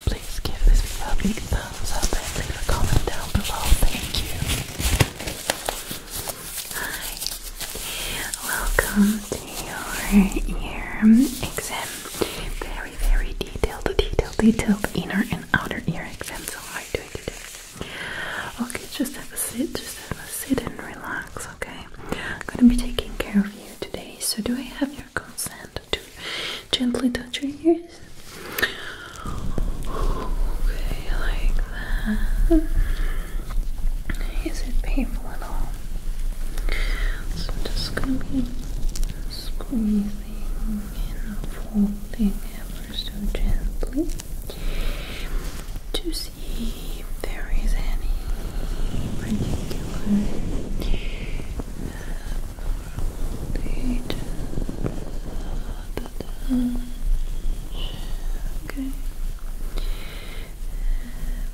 Please give this video a big thumbs up and leave a comment down below. Thank you. Hi. Welcome to your ear exam. Very, very detailed, detailed, detailed inner and outer ear exam. So how are you doing today? Okay, just have a sit, just have a sit and relax, okay? I'm gonna be taking care of you today. So do I have your your consent to gently touch your ears. Okay, like that. Is it painful at all? So I'm just gonna be squeezing and folding ever so gently to see if there is any particular uh, Okay.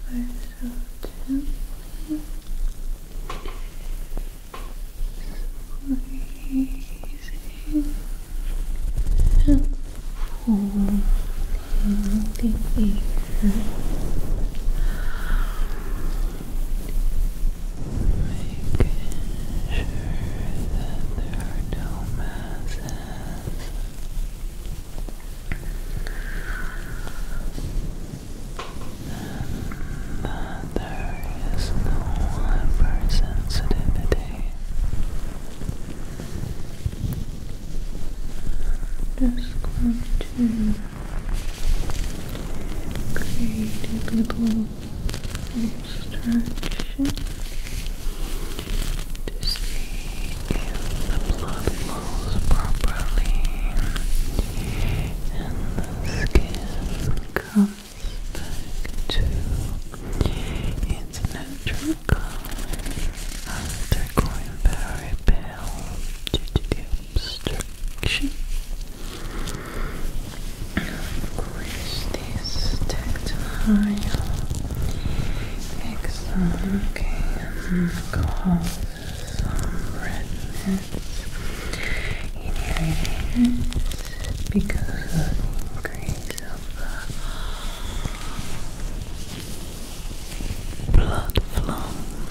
Ever so gently. Squeezing and pulling the ear. Making sure that there are no masses. And that there is no hypersensitivity. I'm just going to create a little to see if the blood flows properly and the skin comes back to its natural color after going very pale obstruction. this tactile exam? Okay, some redness in your because of the increase of the blood flow.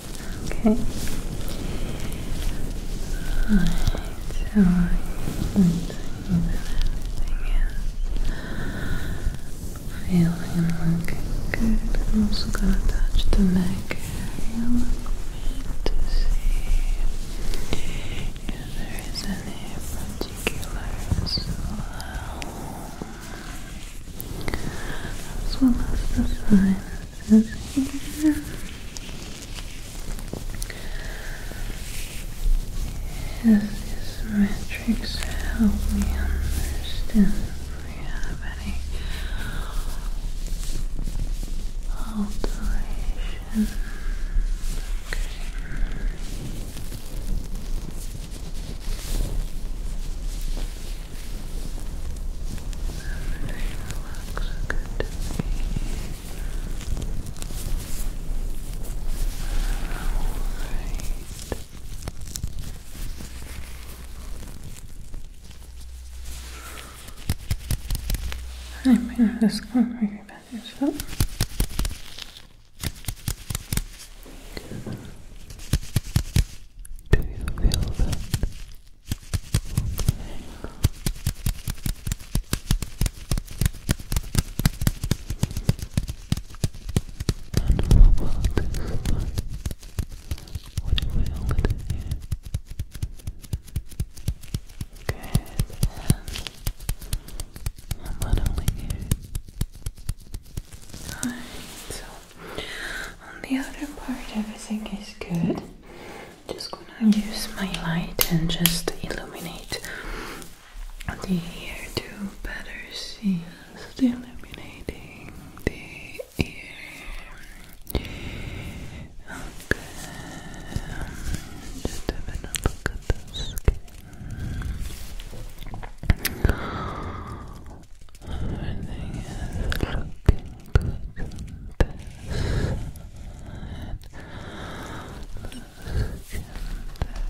Okay. Alright, so I think everything is feeling looking good. I'm also gonna touch the neck area a to see if there is any particular swell as well as the sinuses here. Is this matrix help me understand if alteration? Everything looks good to me. Alright. I'm in this corner, you better do you feel that? And how about this one? What if we hold it in I'm not only here. Alright, on the other part, everything is good. Just gonna use my light and just illuminate the ear to better see. Just illuminating the ear. Okay. Just have a look at the Everything is looking good in this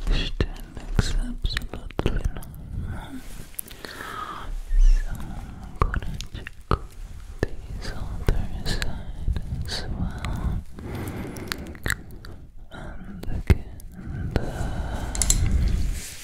skin texture looks So I'm gonna check this other side as well. And again, um,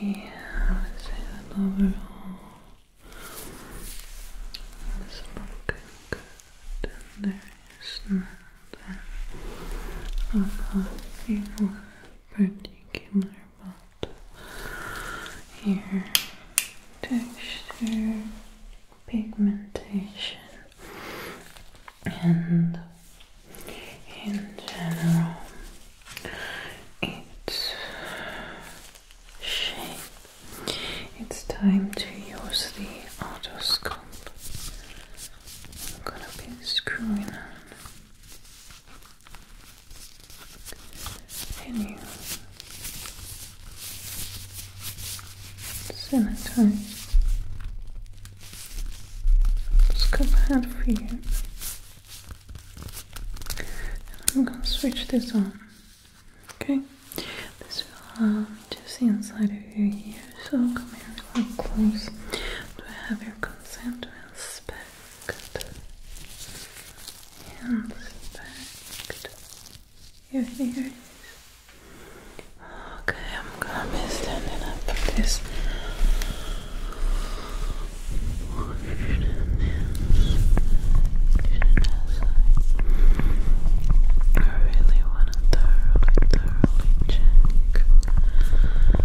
Yeah, let's see that overall. It's looking good, and there is nothing unhealthy or particular about your texture, pigmentation, and in general its time to use the autoscope. I'm gonna be screwing on a new scope head for you. I'm gonna switch this on. Okay, this will um, just inside of your ears. So come here, real close. Do I have your consent to inspect? Inspect your ears. Okay, I'm gonna be standing up for this. I really want to thoroughly, thoroughly check from real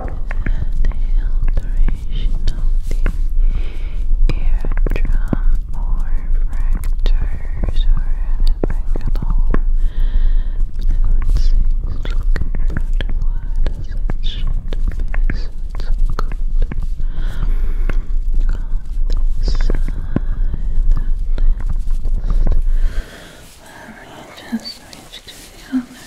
the alteration of the eardrum or fractures or anything at all. Now look at what as it should it's good. On this side and left. just reach to the other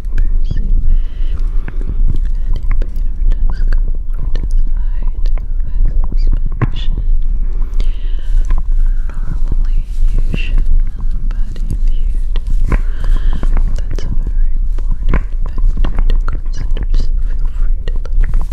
person that painter does does I do Normally you shouldn't, but if you do, that's a very important factor so feel free to look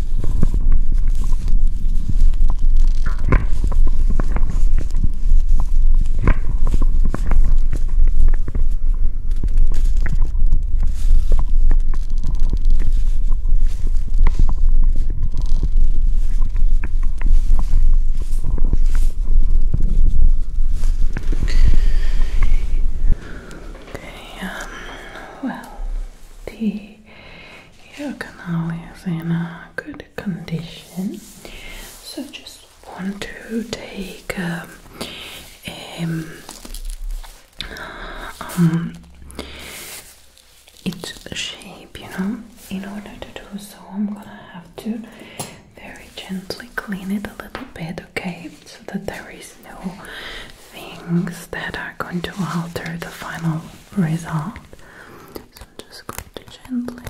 Okay, um, well, the the ear canal is in a good condition. So just want to take um, um, um, its shape, you know. In order to do so, I'm gonna have to very gently clean it a little bit, okay, so that there is no things that are going to alter the final result. So I'm just going to gently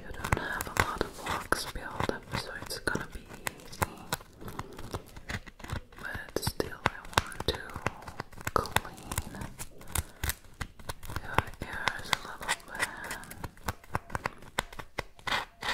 you don't have a lot of blocks built so it's gonna be easy. But still, I want to clean your ears a little bit.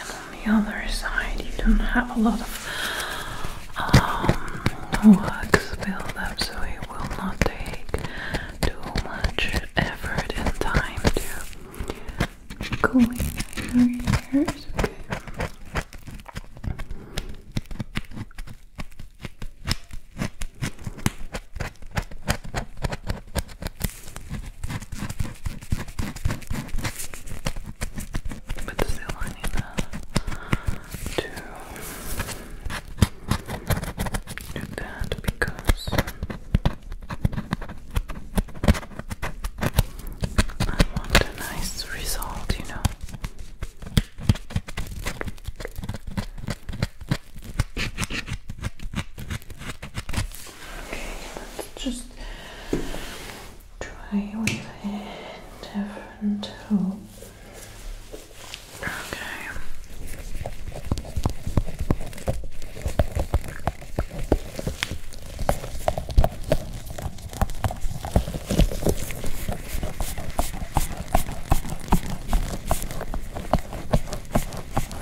And on the other side, you don't have a lot of um, wax build up, so it will not take too much effort and time to clean your hairs. But still I need to do that because I want a nice result, you know. Okay, let's just try with a different tool. Okay.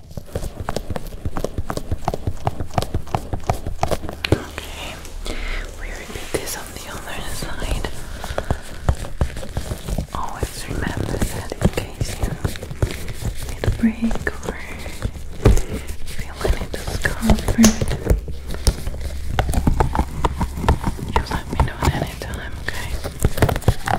Okay, we repeat this on the other side. Always remember that in case you need a break or feel any discomfort. You let me know at any time, okay?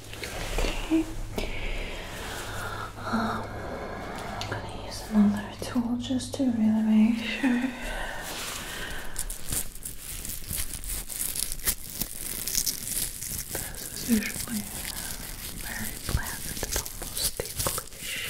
Okay. I'm um, gonna use another tool just to really make sure. This is usually very bland almost ticklish.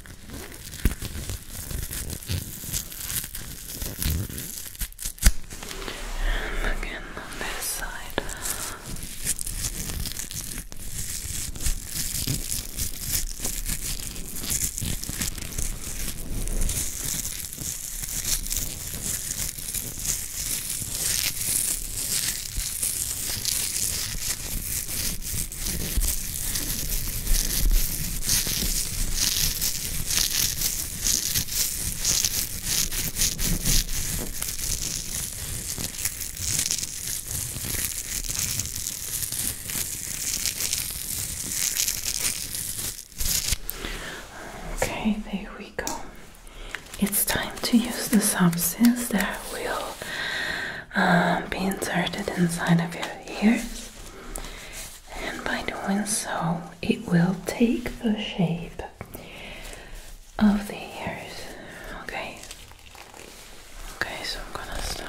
And again on this side. Okay. Okay, there we go. It's time to use the substance that will um, be inserted inside of your ears, and by doing so, it will take the shape of the ears. Okay, okay, so I'm gonna start.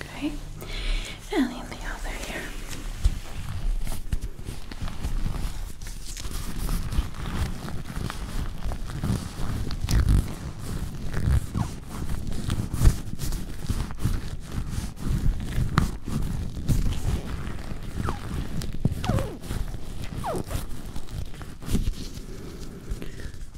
Okay, and the other ear.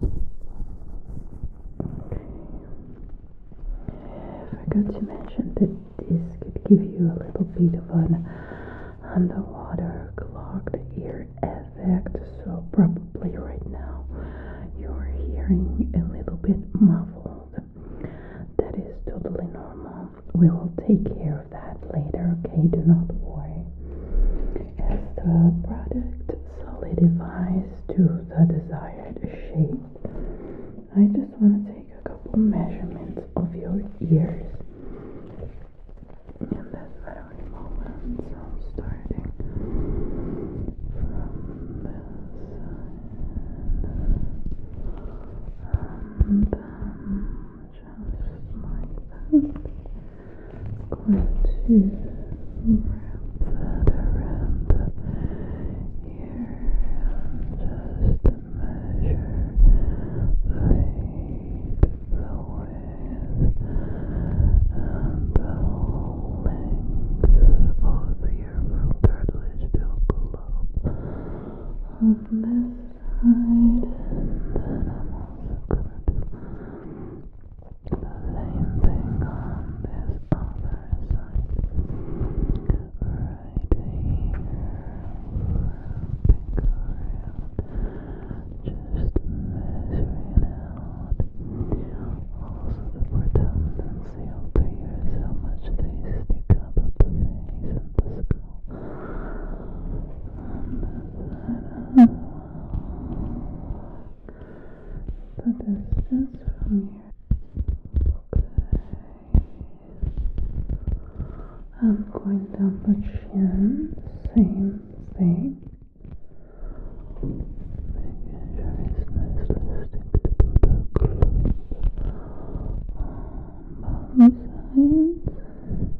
forgot to mention that this could give you a little bit of an underwater clogged ear effect, so probably right now you're hearing a little bit muffled. That is totally normal. We will take care of that later, okay? Do not worry. As the product solidifies to the desired shape, I just want to take a couple measurements of your ears. In this very moment, so starting like that. Going to wrap that around here and just measure the height, the width, and the whole length of the earlobe cartilage to on this side. then I'm also going to the Same thing on this other side. Right here. Just measuring out. Also the pretendency of the ears, how much they stick up of the things in the skull. But the distance from here. Okay. I'm going down the chin, same thing. Making sure it's nicely stick to the glue on both sides.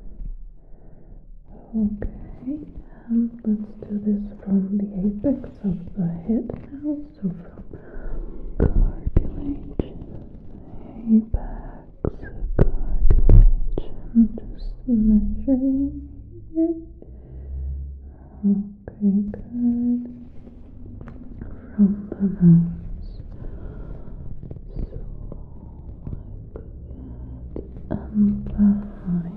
Okay, um, let's do this from the apex of the head now. So from cartilage, apex, cartilage. I'm just measuring it. Okay, good. From the nose and behind, behind.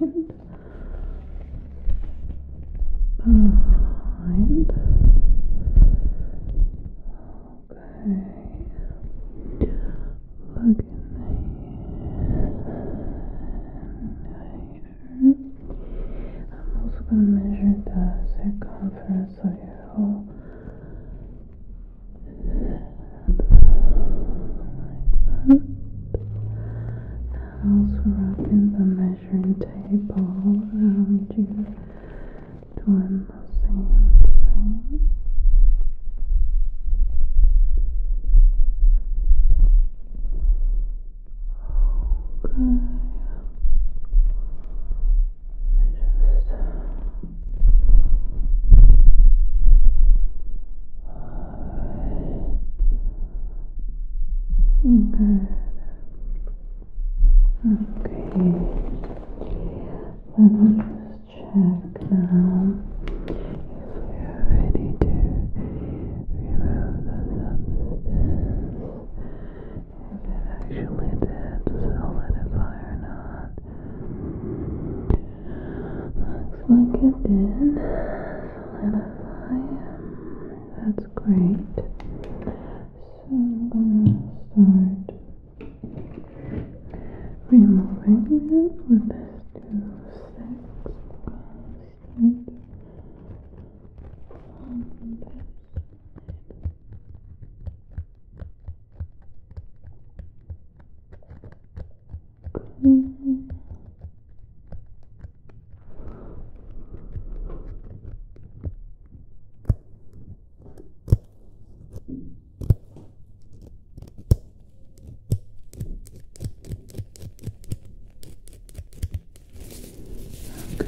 Okay, look in the I'm also going to measure the circumference of your whole that. Now wrapping the measuring tape all around you, doing the same thing. Okay. Let me just Good. Okay. Let me just check now if we are ready to remove the substance. If it actually did solidify or not. Looks like it did solidify. That's great. So I'm gonna start removing it with this two six. Start on this. Good clean.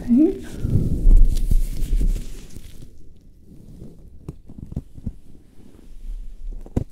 Okay.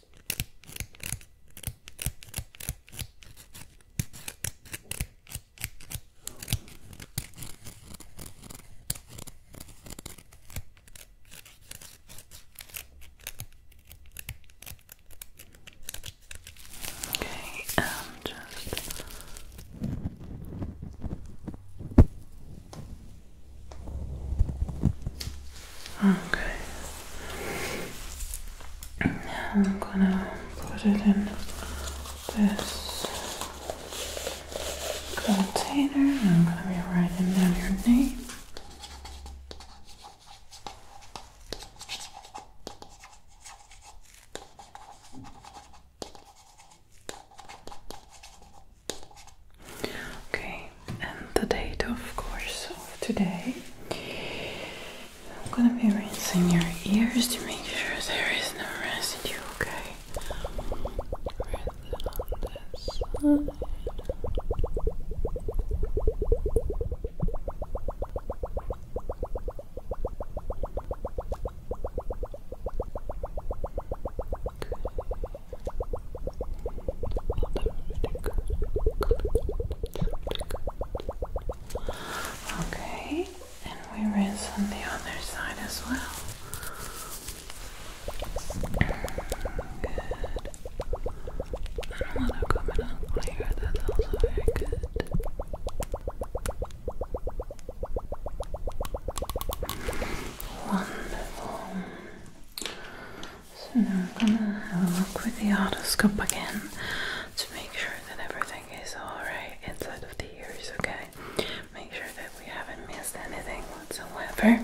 Okay, I'm um, just Okay. I'm gonna put it in this container and I'm gonna be writing down your name. Okay, and the date, of course, today. I'm gonna be rinsing your ears to make sure there is no residue, okay? Rinse Okay. Okay, and we rinse on the other side as well. Good. I don't want to come in also very good. Wonderful. So now I'm gonna have a look with the otoscope again to make sure that everything is alright inside of the ears, okay? Make sure that we haven't missed anything whatsoever.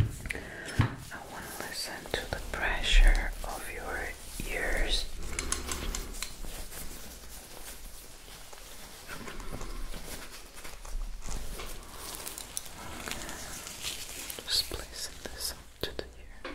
I want to listen to the pressure of your ears. Just placing this up to the ear.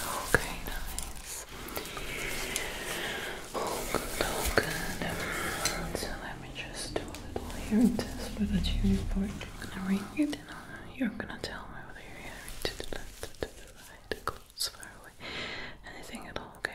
Okay, nice. All good, all good. So let me just do a little hearing test with a tuning fork. I'm gonna ring you're gonna tell me whether you're hearing to the left, to the right, close, far anything at all, Okay.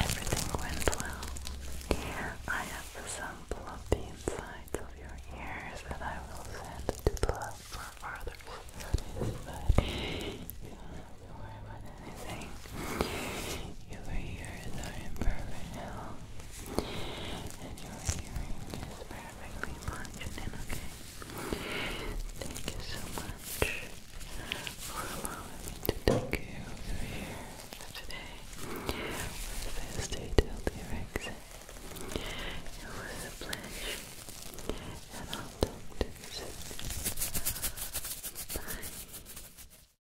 Everything went well. I have some plumpy insides of your ears that I will send to Plum for further studies, but you don't have to worry about anything. You were here imperfect and your hearing is perfectly functioning, Thank you so much for allowing me to take you over here today It was a pleasure, and I'll talk to you soon. Bye.